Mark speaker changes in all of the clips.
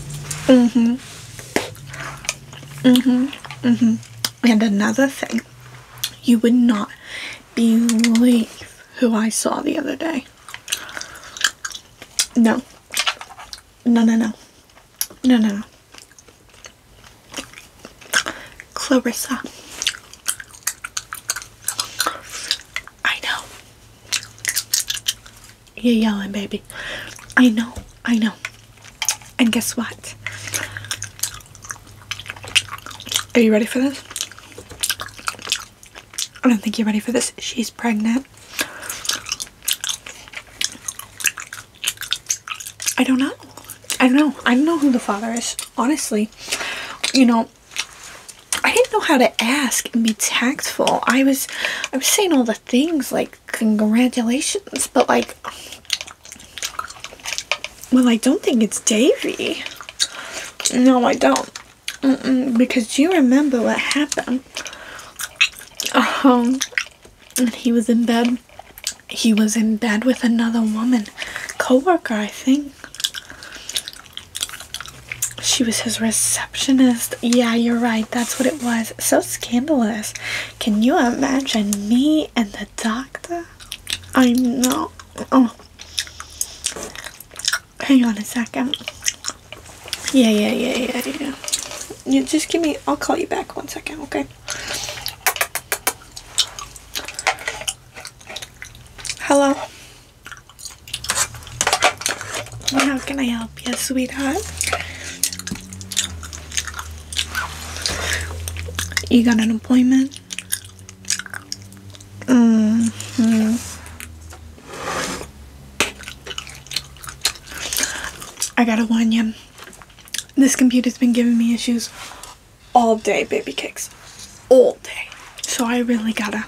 Speaker 1: hmm hmm hmm And another thing, you would not believe who I saw the other day. No. No, no, no. No, no, no. Clarissa. I know. You're yelling, baby. I know, I know. And guess what? Are you ready for this? I don't think you're ready for this. She's pregnant. I don't know. I don't know. I don't know who the father is. Honestly, you know, I didn't know how to ask and be tactful. I was, I was saying all the things like congratulations but like well I don't think it's Davy no I don't because you remember what happened Uh huh. and he was in bed he was in bed with another woman coworker, I think she was his receptionist. Yeah, you're right. That's what it was. So scandalous. Can you imagine me and the doctor? I know. Oh. Hang on a second. Yeah, yeah, yeah, yeah, yeah. You just give me, I'll call you back one second, okay? Hello? How can I help you, sweetheart? You got an appointment? hmm I gotta warn you. This computer's been giving me issues all day, baby cakes. All day. So I really gotta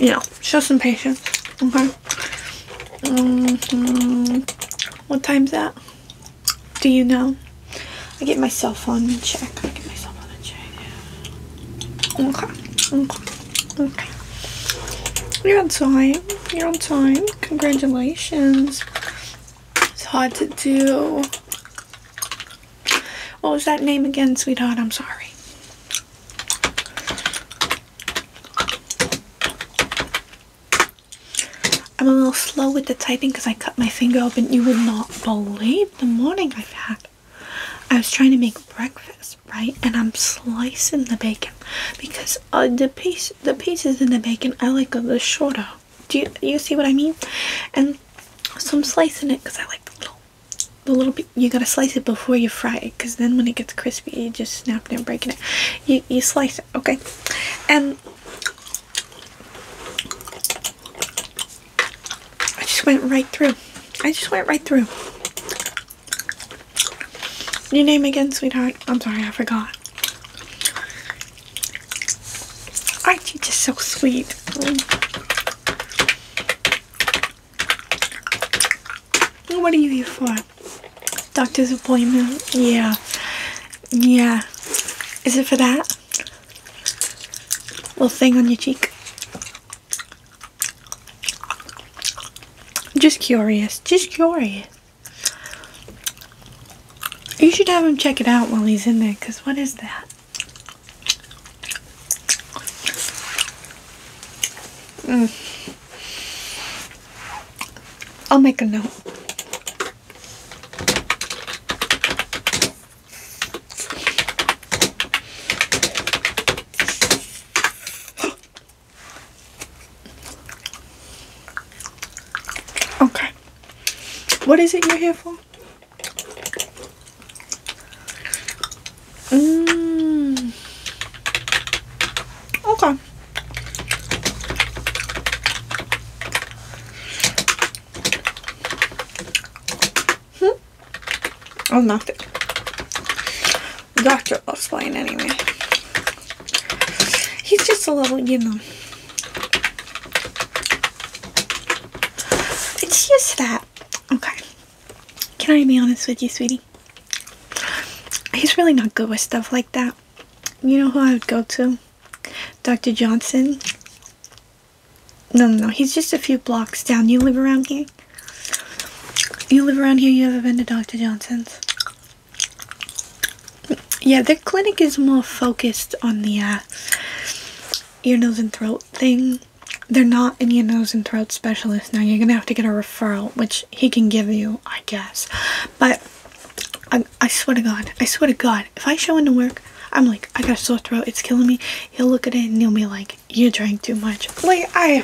Speaker 1: yeah, show some patience. Okay. Mm-hmm. What time's that? Do you know? I get my cell phone check. I get my cell phone check. Okay. Okay. Okay. You're on time. You're on time. Congratulations. It's hard to do. What was that name again, sweetheart? I'm sorry. I'm a little slow with the typing because I cut my finger open. You would not believe the morning I've had. I was trying to make breakfast, right? And I'm slicing the bacon because uh, the piece, the pieces in the bacon, I like the shorter. Do you, you see what I mean? And so I'm slicing it because I like the little the little you gotta slice it before you fry it because then when it gets crispy you just snap it and break it you, you slice it okay and I just went right through I just went right through your name again sweetheart I'm sorry I forgot aren't you just so sweet what are you here for? Doctor's appointment? Yeah. Yeah. Is it for that? Little thing on your cheek? Just curious. Just curious. You should have him check it out while he's in there, because what is that? Mm. I'll make a note. Okay. What is it you're here for? Mm. Okay. Hmm. I'll knock it. Doctor loves playing anyway. He's just a little, you know. It's just that Okay. Can I be honest with you, sweetie? He's really not good with stuff like that. You know who I would go to? Dr. Johnson. No, no, He's just a few blocks down. You live around here? You live around here? You ever been to Dr. Johnson's? Yeah, the clinic is more focused on the uh, ear, nose, and throat thing they're not any nose, and throat specialist now. You're gonna have to get a referral, which he can give you, I guess. But I, I swear to God, I swear to God, if I show into work, I'm like, I got a sore throat, it's killing me. He'll look at it and he'll be like, You drank too much. Like, I.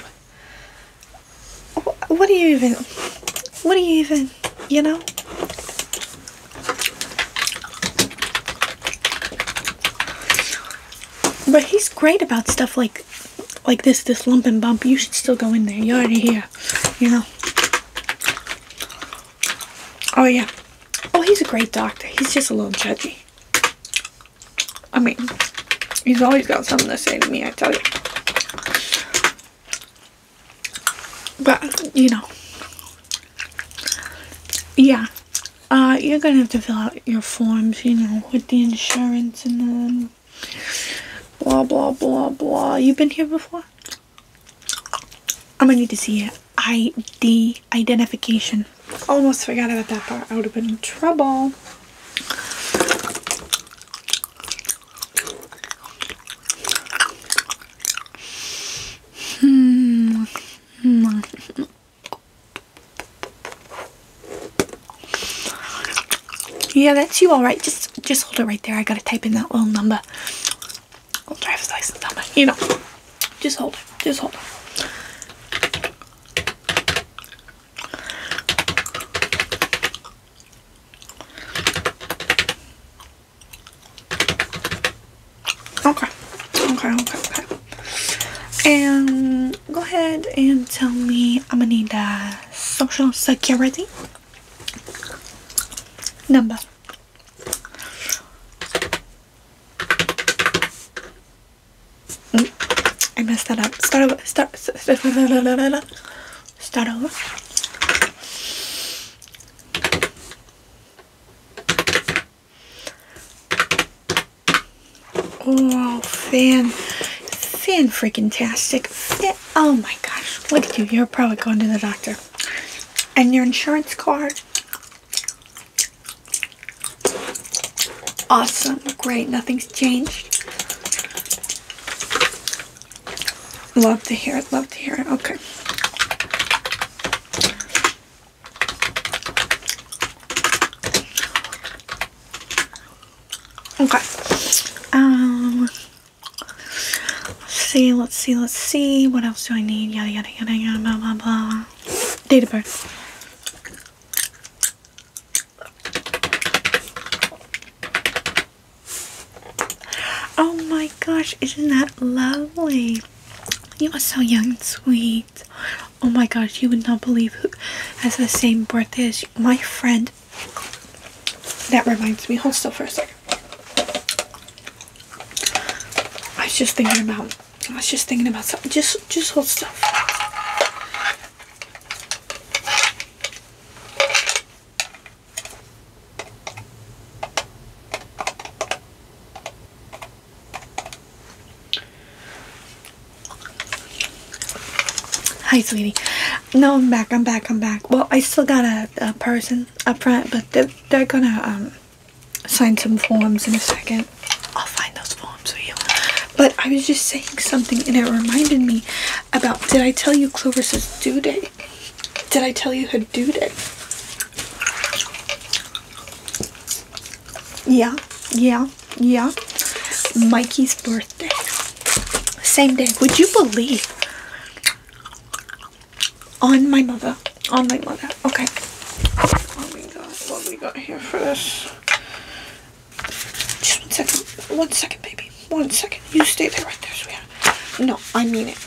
Speaker 1: What do you even. What do you even. You know? But he's great about stuff like like this, this lump and bump. You should still go in there. You're already here, you know. Oh, yeah. Oh, he's a great doctor. He's just a little judgy. I mean, he's always got something to say to me, I tell you. But, you know. Yeah, uh, you're gonna have to fill out your forms, you know, with the insurance and then blah blah blah blah. You've been here before? I'm gonna need to see your ID identification. Almost forgot about that part. I would have been in trouble. Hmm. Yeah, that's you all right. Just just hold it right there. I gotta type in that little number. I'll driver's license number. You know. Just hold Just hold Okay. Okay, okay, okay. And go ahead and tell me I'm gonna need a uh, social security number. Mm, I messed that up. Start over. Start. Start over. Oh, fan. Fan freaking tastic. Oh my gosh. Look at you. You're probably going to the doctor. And your insurance card. Awesome. Great. Nothing's changed. Love to hear it. Love to hear it. Okay. Okay. Um. Let's see. Let's see. Let's see. What else do I need? Yada yada yada yada. Blah blah blah. Date of Oh my gosh! Isn't that lovely? You are so young and sweet. Oh my gosh, you would not believe who has the same birthday as my friend. That reminds me. Hold still for a second. I was just thinking about. I was just thinking about something. Just, just hold still. Hi, sweetie. No, I'm back. I'm back. I'm back. Well, I still got a, person up front, but they're, gonna um, sign some forms in a second. I'll find those forms for you. But I was just saying something, and it reminded me about, did I tell you Clovis's due date? Did I tell you who did it? Yeah, yeah, yeah. Mikey's birthday. Same day. Would you believe? On my mother. On my mother. Okay. What we got? we got here for this? Just one second. One second, baby. One second. You stay there right there, No, I mean it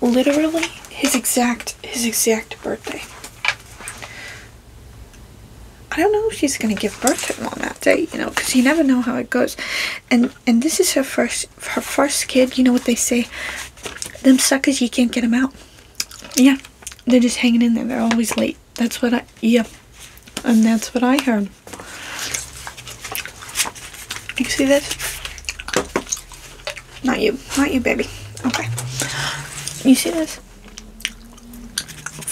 Speaker 1: literally his exact his exact birthday. I don't know if she's gonna give birth to him on that day, you know, because you never know how it goes. And and this is her first her first kid. You know what they say? Them suckers, you can't get them out. Yeah, they're just hanging in there. They're always late. That's what I yeah, and that's what I heard. You see this? Not you. Not you, baby. Okay. You see this?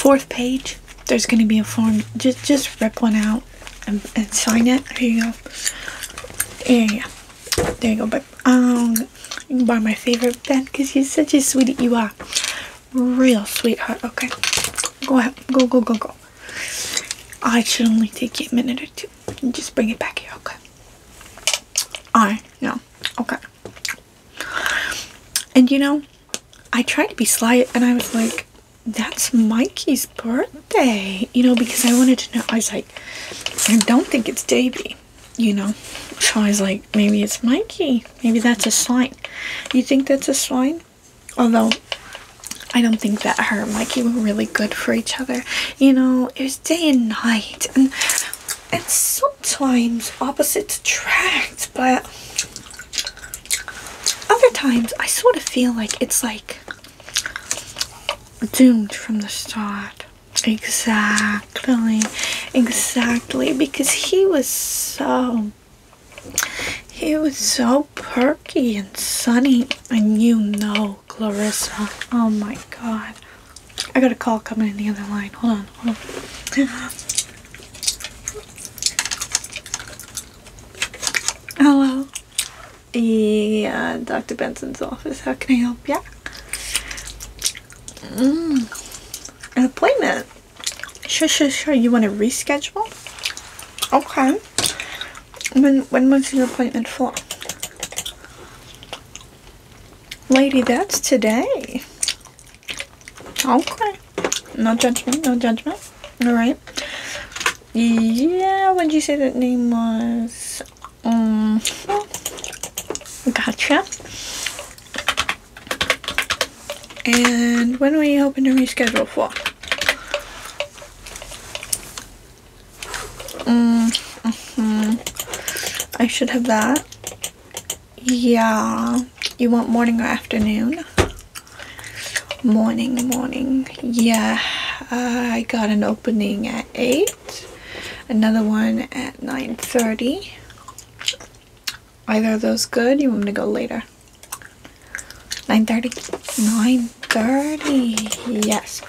Speaker 1: Fourth page. There's going to be a form. Just, just rip one out and, sign it. There you go. Yeah, yeah. There you go, babe. Um, you my favorite pen because you're such a sweetie. You are. Real sweetheart. Okay. Go ahead. Go, go, go, go. I should only take you a minute or two. Just bring it back here, okay? Alright, no. Okay. And you know, I tried to be slight, and I was like, that's Mikey's birthday, you know, because I wanted to know. I was like, I don't think it's Davy, you know. So I was like, maybe it's Mikey. Maybe that's a sign. You think that's a sign? Although I don't think that her and Mikey were really good for each other. You know, it was day and night and and sometimes opposites attract, but other times I sort of feel like it's like doomed from the start. Exactly. Exactly. Because he was so he was so perky and sunny, and you know, Clarissa. Oh my god. I got a call coming in the other line. Hold on, hold on. Hello. Yeah, Dr. Benson's office. How can I help you? Mm. An appointment? Sure, sure, sure. You want to reschedule? Okay. When when was your appointment for? Lady, that's today. Okay. No judgment, no judgment. Alright. Yeah, what did you say that name was? Um, hmm. gotcha. And when are you hoping to reschedule for? Mm, -hmm. I should have that. Yeah. You want morning or afternoon? Morning, morning. Yeah. Uh, I got an opening at 8. Another one at 9.30. Either of those good? You want me to go later? 9.30? 9.30. Yes.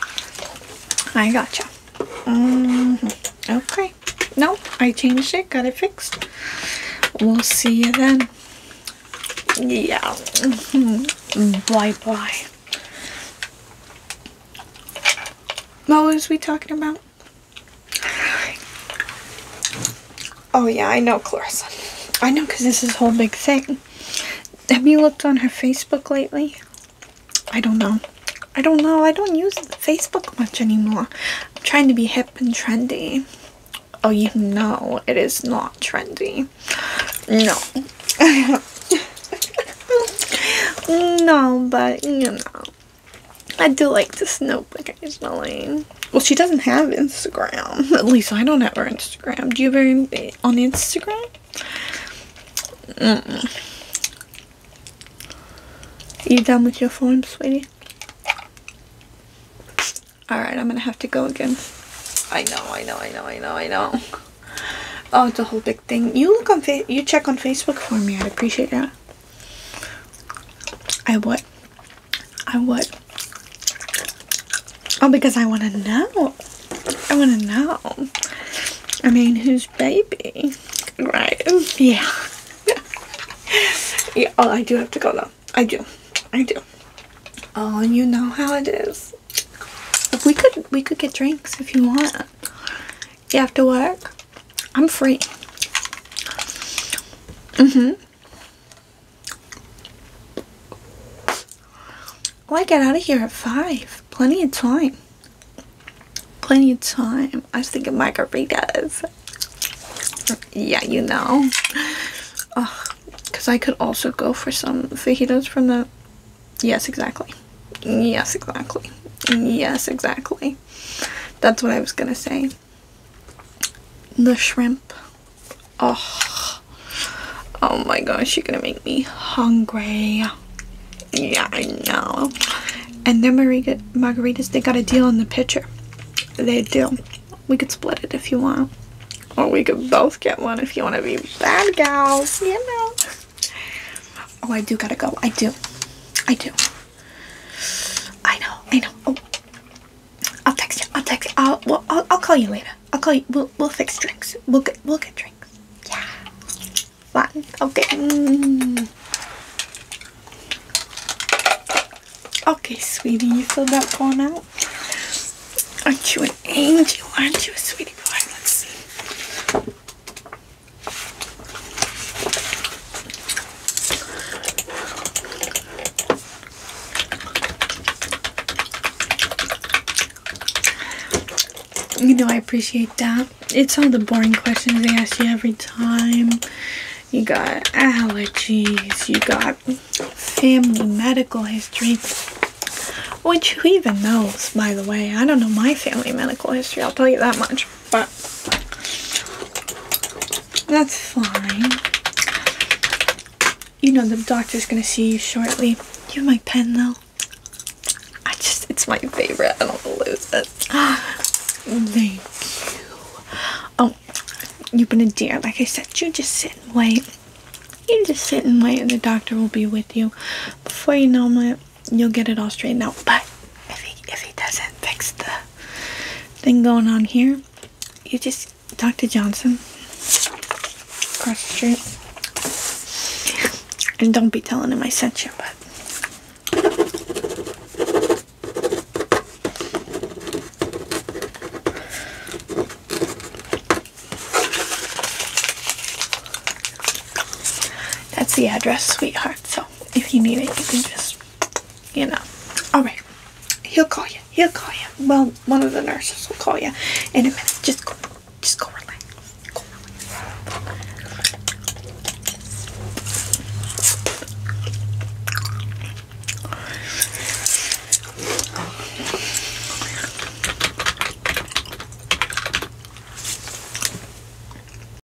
Speaker 1: I gotcha. Mm Okay. No, I changed it. Got it fixed. We'll see you then. Yeah. Mm-hmm. Bye-bye. what was we talking about? Oh yeah, I know Clarissa. I know because this is a whole big thing. Have you looked on her Facebook lately? I don't know. I don't know. I don't use Facebook much anymore. I'm trying to be hip and trendy. Oh, you know it is not trendy. No. no, but you know. I do like to I snoop occasionally. Well, she doesn't have Instagram. At least I don't have her Instagram. Do you have on Instagram? You done with your phone, sweetie? Alright, I'm gonna have to go again. I know, I know, I know, I know, I know. Oh, it's a whole big thing. You look on fa you check on Facebook for me. I'd appreciate that. I what? I would. Oh, because I want to know. I want to know. I mean, whose baby? Right. Yeah. yeah. Oh, I do have to go though. I do. I do. Oh, and you know how it is. we could, we could get drinks if you want. You have to work. I'm free. Mm-hmm. I get out of here at 5. Plenty of time. Plenty of time. I was thinking margaritas. Yeah, you know. Because I could also go for some fajitas from the... Yes, exactly. Yes, exactly. Yes, exactly. That's what I was going to say the shrimp. Oh, oh my gosh, you're gonna make me hungry. Yeah, I know. And their margaritas, they got a deal in the picture. They do. We could split it if you want. Or we could both get one if you want to be bad gals, Yeah. know. Oh, I do gotta go. I do. I do. I know, I know. Oh. I'll text you. I'll text you. I'll, I'll I'll call you later. I'll call you. We'll we'll fix drinks. We'll get we'll get drinks. Yeah. Fine. Okay. Mm. Okay, sweetie, you feel that going out? Aren't you an angel? Aren't you a sweetie pie? Let's see. You know, I appreciate that. It's all the boring questions they ask you every time. You got allergies, you got family medical history, which you even knows, by the way. I don't know my family medical history, I'll tell you that much. But that's fine. You know the doctor's gonna see you shortly. You have my pen though. I just, it's my favorite. I don't to lose it. Thank you. Oh, you've been a dear. Like I said, you just sit and wait. You just sit and wait and the doctor will be with you. Before you know it, you'll get it all straightened out. But if he, if he doesn't fix the thing going on here. You just talk to Johnson across the street. And don't be telling him I sent you, but that's the address, sweetheart. So if you need it, you can just you know. All right. He'll call you. He'll call you. Well, one of the nurses will call you in a minute. Just go. Just Go relax.